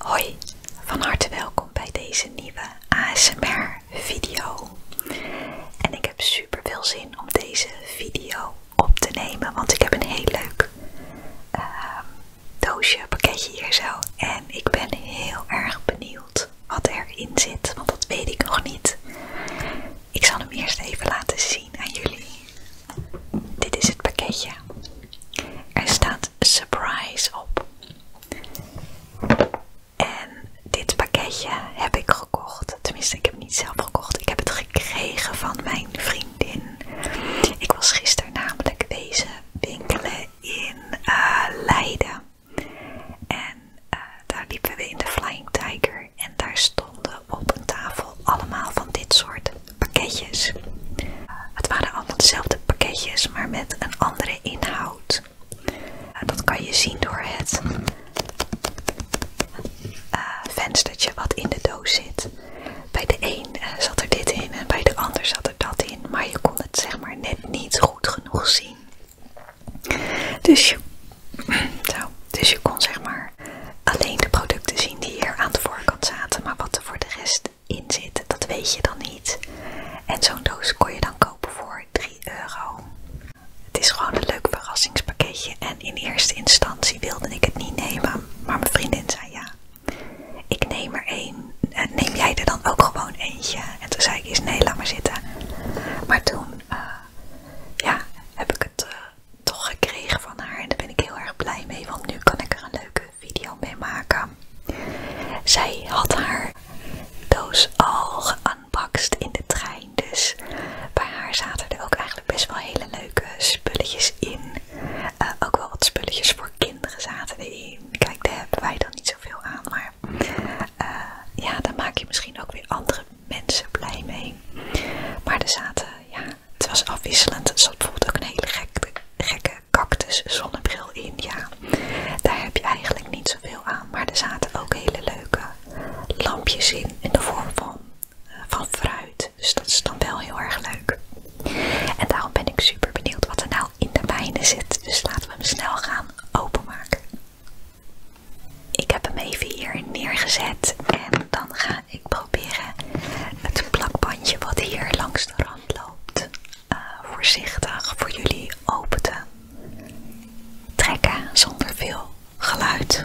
Hoi, van harte welkom bij deze nieuwe ASMR video. En ik heb super veel zin om deze video op te nemen, want ik heb een heel leuk ehm, doosje, pakketje hier zo. En ik ben heel erg benieuwd wat erin zit, want dat weet ik nog niet. Ik zal hem eerst even laten zien aan jullie. Dit is het pakketje. Er staat surprise op. En dit pakketje heb ik gekocht. Tenminste, ik heb het niet zelf gekocht. Ik heb het gekregen van mijn vriendin. Ik was gisteren namelijk wezen winkelen in eh, Leiden. En eh, daar liepen we in de Flying Tiger. En daar stonden op een tafel allemaal van dit soort pakketjes. Het waren allemaal hetzelfde pakketjes, maar met een andere inhoud. Dat kan je zien door het eh, venstertje wat in de doos zit. Bij de een eh, zat er dit in en bij de ander zat er dat in, maar je kon het zeg maar net niet goed genoeg zien. Dus je, dus je kon zeg maar alleen de producten zien die hier aan de voorkant zaten, maar wat er voor de rest in zit, dat weet je dan niet. En zo'n doos kon je dan kopen voor 3 euro. Het is gewoon een leuk verrassingspakketje en in eerste instantie wilde ik het niet nemen, maar mijn vriendin zei ja. Ik neem er één. Neem jij er dan ook gewoon eentje? En toen zei ik eens nee, laat maar zitten. Maar toen eh, ja, heb ik het eh, toch gekregen van haar en daar ben ik heel erg blij mee, want nu kan ik er een leuke video mee maken. Zij had haar doos al geunboxed in de trein, dus bij haar zaten er ook eigenlijk best wel hele leuke spulletjes in. Eh, ook wel wat spulletjes voor kinderen zaten erin. Kijk, daar hebben wij dan niet zoveel aan, maar eh, ja, daar maak je misschien ook weer andere mensen blij mee. Maar er zaten ja, het was afwisselend. Er zat bijvoorbeeld ook een hele gekke, gekke cactus zonnebril in. Ja, daar heb je eigenlijk niet zoveel aan. Maar er zaten ook hele leuke lampjes in. In de vorm van, eh, van fruit. Dus dat is dan wel heel erg leuk. En daarom ben ik super benieuwd wat er nou in de bijnen zit. Dus laten we hem snel gaan openmaken. Ik heb hem even hier neergezet en dan gaan ik probeer eh, het plakbandje wat hier langs de rand loopt eh, voorzichtig voor jullie open te trekken zonder veel geluid.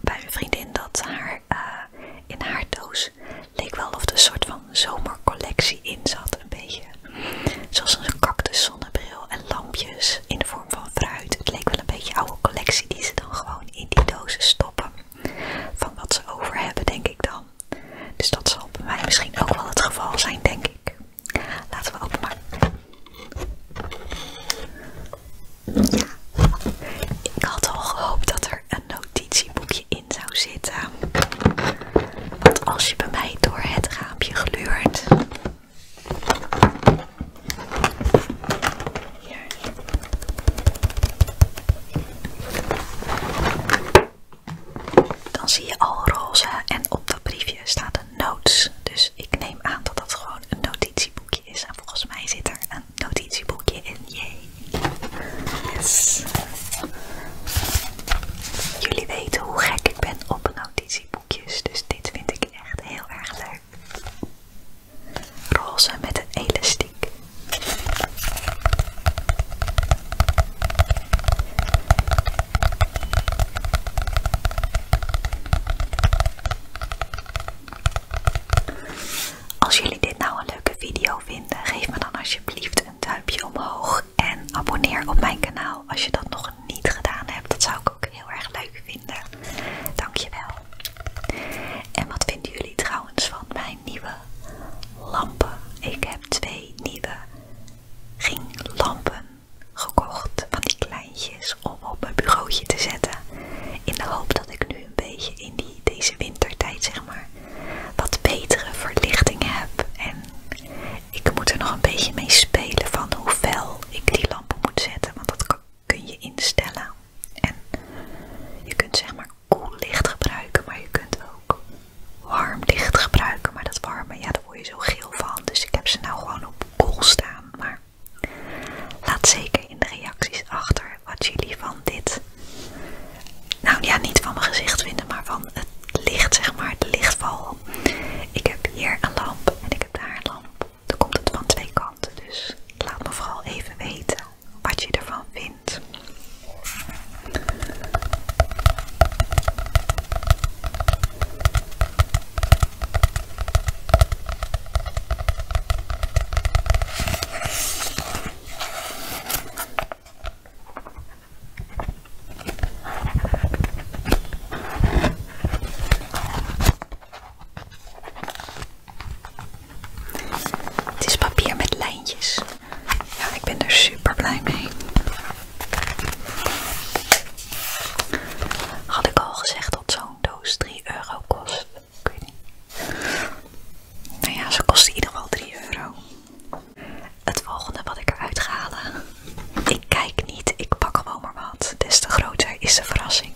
bij een vriendin dat haar, eh, in haar doos leek wel of er een soort van zomercollectie in zat. Een beetje zoals een cactus zonnebril en lampjes in de vorm van fruit. Het leek wel een beetje oude collectie die ze dan gewoon in die dozen stoppen. Van wat ze over hebben denk ik dan. Dus dat zal bij mij misschien ook wel het geval zijn denk ik. Laten we openmaken. Ik had al gehoopt dat er een notitieboekje in zou zitten. Want als je bij mij door het raampje gluurt. Dan zie je al roze en op dat briefje staat een notes. Dus ik neem aan dat dat gewoon een notitieboekje en volgens mij zit er een notitieboekje in. Yay. Jullie weten hoe gek ik ben op notitieboekjes. Dus dit vind ik echt heel erg leuk. Roze met een elastiek. Als jullie dit nou een leuke video vinden, geef me dan alsjeblieft een duimpje omhoog. En abonneer op mijn kanaal als je dat nog niet gedaan hebt. Dat zou ik ook heel erg leuk vinden. Dankjewel. En wat vinden jullie trouwens van mijn nieuwe lampen? Ik heb twee nieuwe ringlampen gekocht. Van die kleine om op mijn bureautje te zetten. In de hoop dat ik nu een beetje in die, deze wintertijd zeg maar wat betere verlichting heb. En ik moet er nog een beetje mee spelen van hoeveel ik die lampen moet zetten. Want dat kun je instellen. En je kunt zeg maar koel licht gebruiken, maar je kunt ook warm licht gebruiken. Maar dat warme, ja daar word je zo geel van. Dus ik heb ze nou gewoon op cool staan. Maar Laat zeker in de reacties achter wat jullie van dit, nou ja, niet van mijn gezicht vinden, maar van het licht, zeg maar, de lichtval. Ik heb hier een lamp en ik heb daar een lamp. Dan komt het van twee kanten, dus laat me vooral even weten wat je ervan vindt. Het is papier met lijntjes. Ja, ik ben er super blij mee. Had ik al gezegd dat zo'n doos 3 euro kost. Ik niet. Nou ja, ze kost in ieder 3 euro. Het volgende wat ik eruit ga halen. Ik kijk niet, ik pak gewoon maar wat. Des te groter is de verrassing.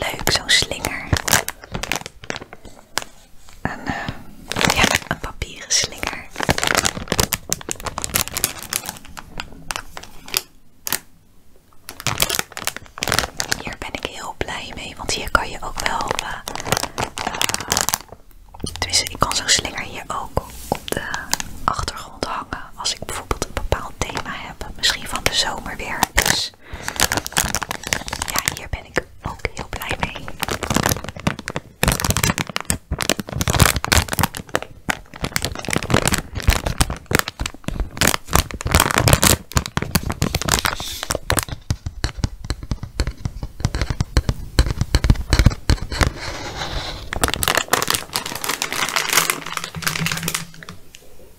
Leuk, zo'n slinger. Eh, een, een papieren slinger. Hier ben ik heel blij mee, want hier kan je ook wel... Uh, ik kan zo'n slinger hier ook de achtergrond hangen als ik bijvoorbeeld een bepaald thema heb. Misschien van de zomer weer. Dus ja, hier ben ik ook heel blij mee.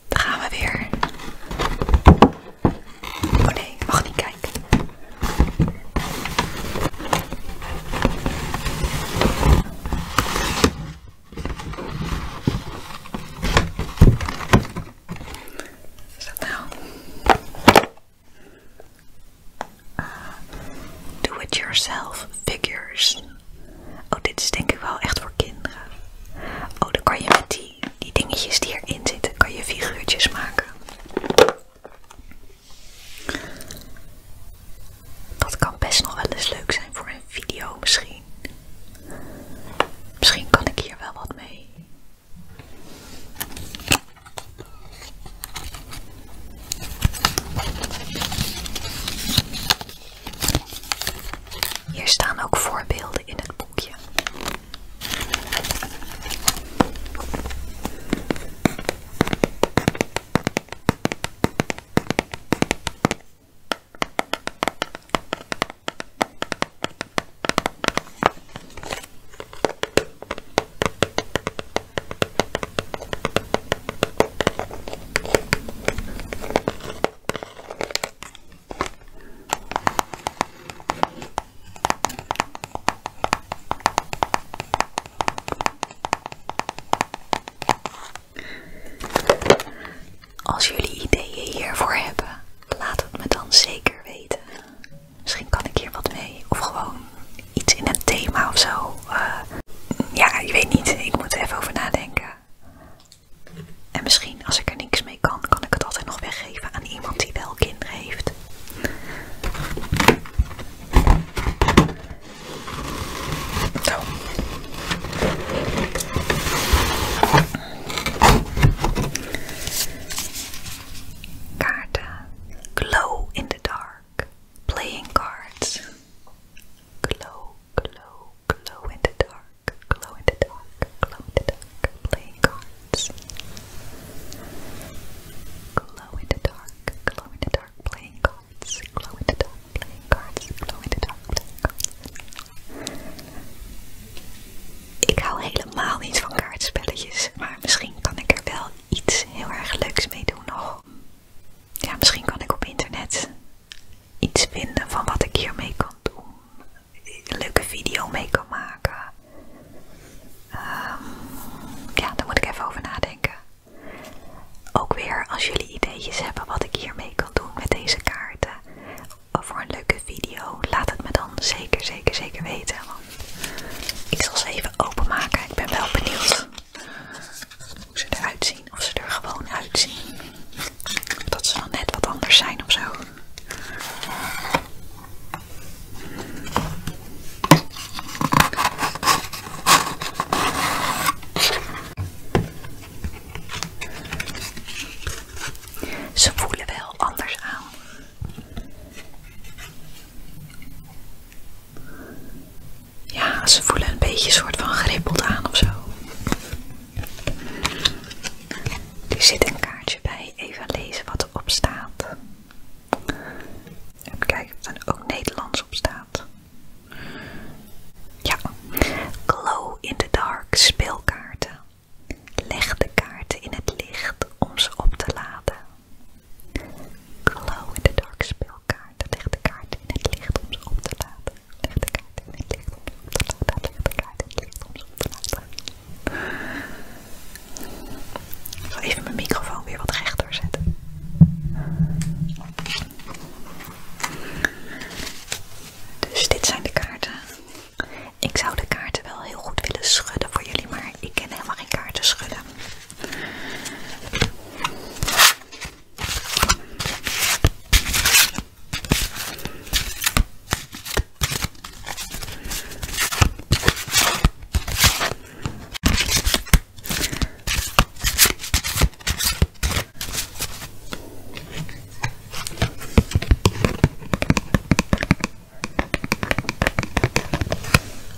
Daar gaan we weer. Oh, ah. do it yourself figures. Oh, dit is denk ik wel echt voor kinderen. Oh, dan kan je met die, die dingetjes die erin zitten, kan je figuurtjes maken. Dat kan best nog wel eens leuk zijn voor een video misschien. Misschien kan ik hier wel wat mee. Hier staan ook voorbeelden in het boekje. Als jullie ideeën hiervoor hebben, laat het me dan zeker weten. Misschien kan ik hier wat mee, of gewoon iets in het thema of zo. Eh, ja, je weet niet. Ik moet er even over nadenken. En misschien als ik er niks mee kan, kan ik het altijd nog weggeven aan iemand die wel kinderen heeft. Kaarten. Glow in the dark. Playing cards. Glow, glow, glow in the dark, glow in the dark, glow in the dark, playing cards. Glow in the dark, glow in the dark, playing cards, glow in the dark, playing cards, glow in the dark, Ik hou helemaal niet van kaartspelletjes, maar misschien kan ik er wel iets heel erg leuks mee doen nog ja, misschien kan ik op internet iets vinden van wat ik hiermee kan doen. Een leuke video mee kan maken. Ehm, ja, daar moet ik even over nadenken. Ook weer als jullie ideetjes hebben wat ik hiermee kan doen met deze kaarten. Voor een leuke video, laat het me dan zeker, zeker, zeker weten. Want ik zal ze even openmaken. Ik ben wel benieuwd hoe ze eruit zien. Of ze er gewoon uitzien. Of dat ze dan net wat anders zijn of zo. Ze voelen wel anders aan. Ja, ze voelen een beetje een soort van gerippeld aan of zo. Er zit een kaartje bij, even lezen wat erop staat. Even kijken of er ook Nederlands op staat. Ja, glow in the dark speelkaarten. Leg de kaarten in het licht om ze op te laden. Glow in the dark speelkaarten kaarten. Leg de kaart in het licht om ze op te laten. Leg de kaart in het licht om ze te laten. Leg de kaart in het licht om ze op te laten. Ik zal even mijn microfoon weer wat rechter zetten. Dus dit zijn de kaarten. Ik zou de kaarten wel heel goed willen schudden voor jullie, maar ik ken helemaal geen kaarten schudden.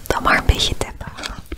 Dan maar een beetje tappen.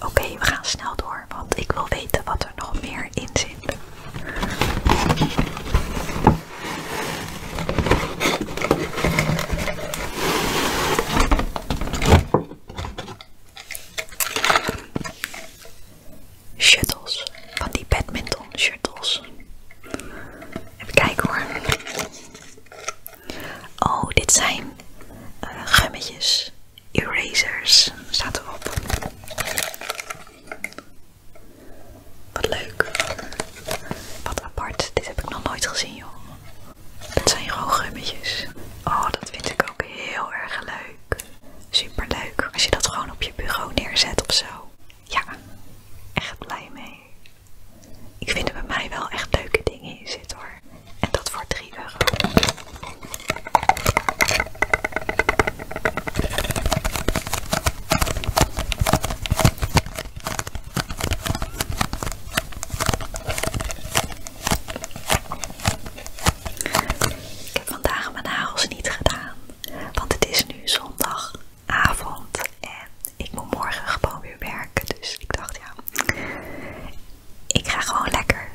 Oké, we gaan snel door, want ik wil weten wat er nog meer in zit. Shuttles, van die badminton shuttles. Even kijken hoor. Oh, dit zijn eh, gummetjes. Erasers staat erop. Wat leuk. Wat apart. Dit heb ik nog nooit gezien, joh. Het zijn gewoon gummetjes. Oh, dat vind ik ook heel erg leuk. Super leuk als je dat gewoon op je bureau neerzet of zo. Ja, echt blij mee. Ik vind er bij mij wel echt leuke dingen in zitten hoor. En dat voor 3 euro. Ik heb vandaag mijn nagels niet gedaan, want het is nu zondagavond en ik moet morgen gewoon weer werken. Dus ik dacht ja, ik ga gewoon lekker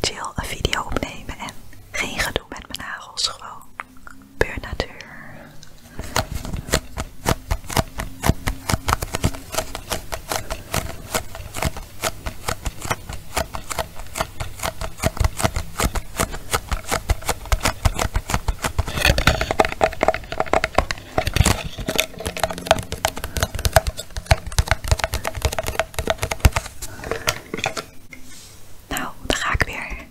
chill een video opnemen en geen gedoe met mijn nagels, gewoon pure natuur. Nou, dan ga ik weer.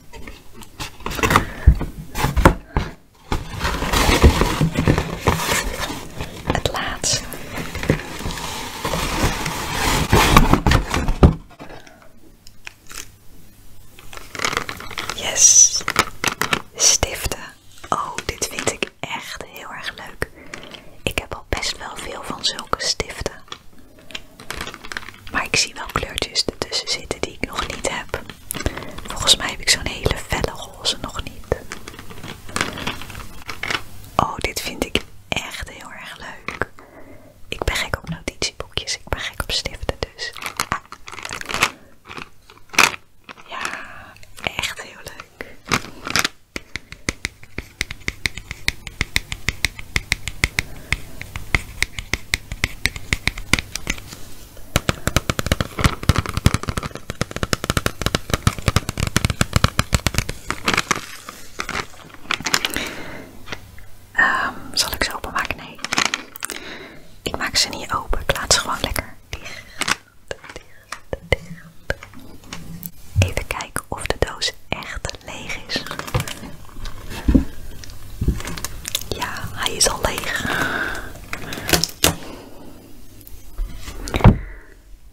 Het laatste. Yes, stiften. Oh, dit vind ik echt heel erg leuk. Ik heb al best wel veel van zulke stiften. Maar ik zie wel kleurtjes ertussen zitten die ik nog niet heb. Volgens mij heb ik zo'n hele felle roze nog niet. Oh, dit vind ik echt heel erg leuk. Ik ben gek op notitieboekjes, ik ben gek op stiften dus. Ja, echt heel leuk. Ehm, zal ik ze openmaken? Nee. Ik maak ze niet open. Ik laat ze gewoon lekker dicht. Even kijken of de doos echt leeg is. Ja, hij is al leeg.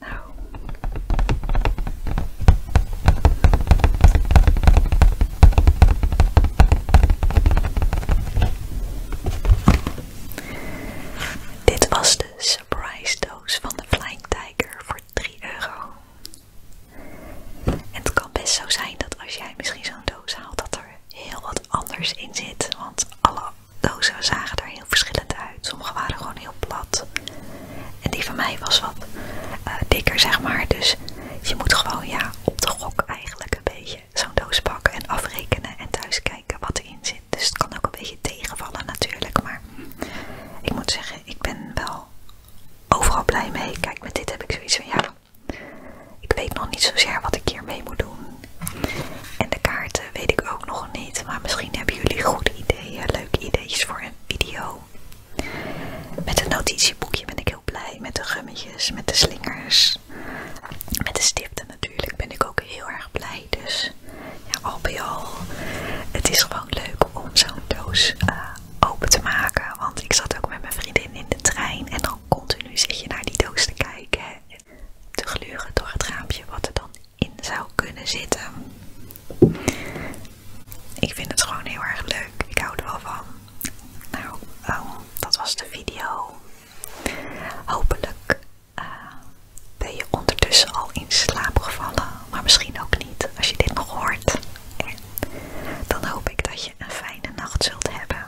Nou. Dit was de surprise doos van de Flying Tiger voor 3 euro. het kan best zo zijn dat als jij misschien zo'n doos haalt, dat er heel wat anders in zit. Want alle dozen zagen er heel verschillend uit. Sommige waren gewoon heel plat. En die van mij was wat eh, dikker, zeg maar. Dus je moet gewoon ja, op de gok eigenlijk een beetje zo'n doos pakken en afrekenen en thuis kijken wat erin zit. Dus het kan ook een beetje tegenvallen natuurlijk, maar ik moet zeggen, ik ben wel overal blij mee. Kijk, met dit heb ik zoiets van, ja, ik weet nog niet zozeer wat ik hier mee moet doen. En de kaarten weet ik ook nog niet, maar misschien hebben jullie goede ideeën, leuke ideetjes voor een video. Met het notitieboekje ben ik heel blij, met de gummetjes, met de slingers. Met de stiften natuurlijk ben ik ook heel erg blij. Dus ja, al bij al, het is gewoon leuk om zo'n doos eh, open te maken. Want ik zat ook met mijn vriendin in de trein en dan continu zit je naar die doos te kijken. Te gluren door het raampje wat er dan in zou kunnen zitten. Ik vind het gewoon heel erg leuk. Ik hou er wel van. Nou, ehm, dat was de video. Hopelijk eh, ben je ondertussen al in slaap gevallen, maar misschien ook niet als je dit nog hoort. dan hoop ik dat je een fijne nacht zult hebben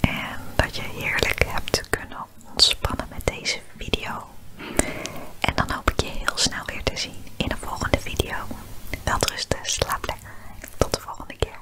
en dat je heerlijk hebt kunnen ontspannen met deze video. En dan hoop ik je heel snel weer te zien in een volgende video. Welterusten, slaap lekker. Tot de volgende keer.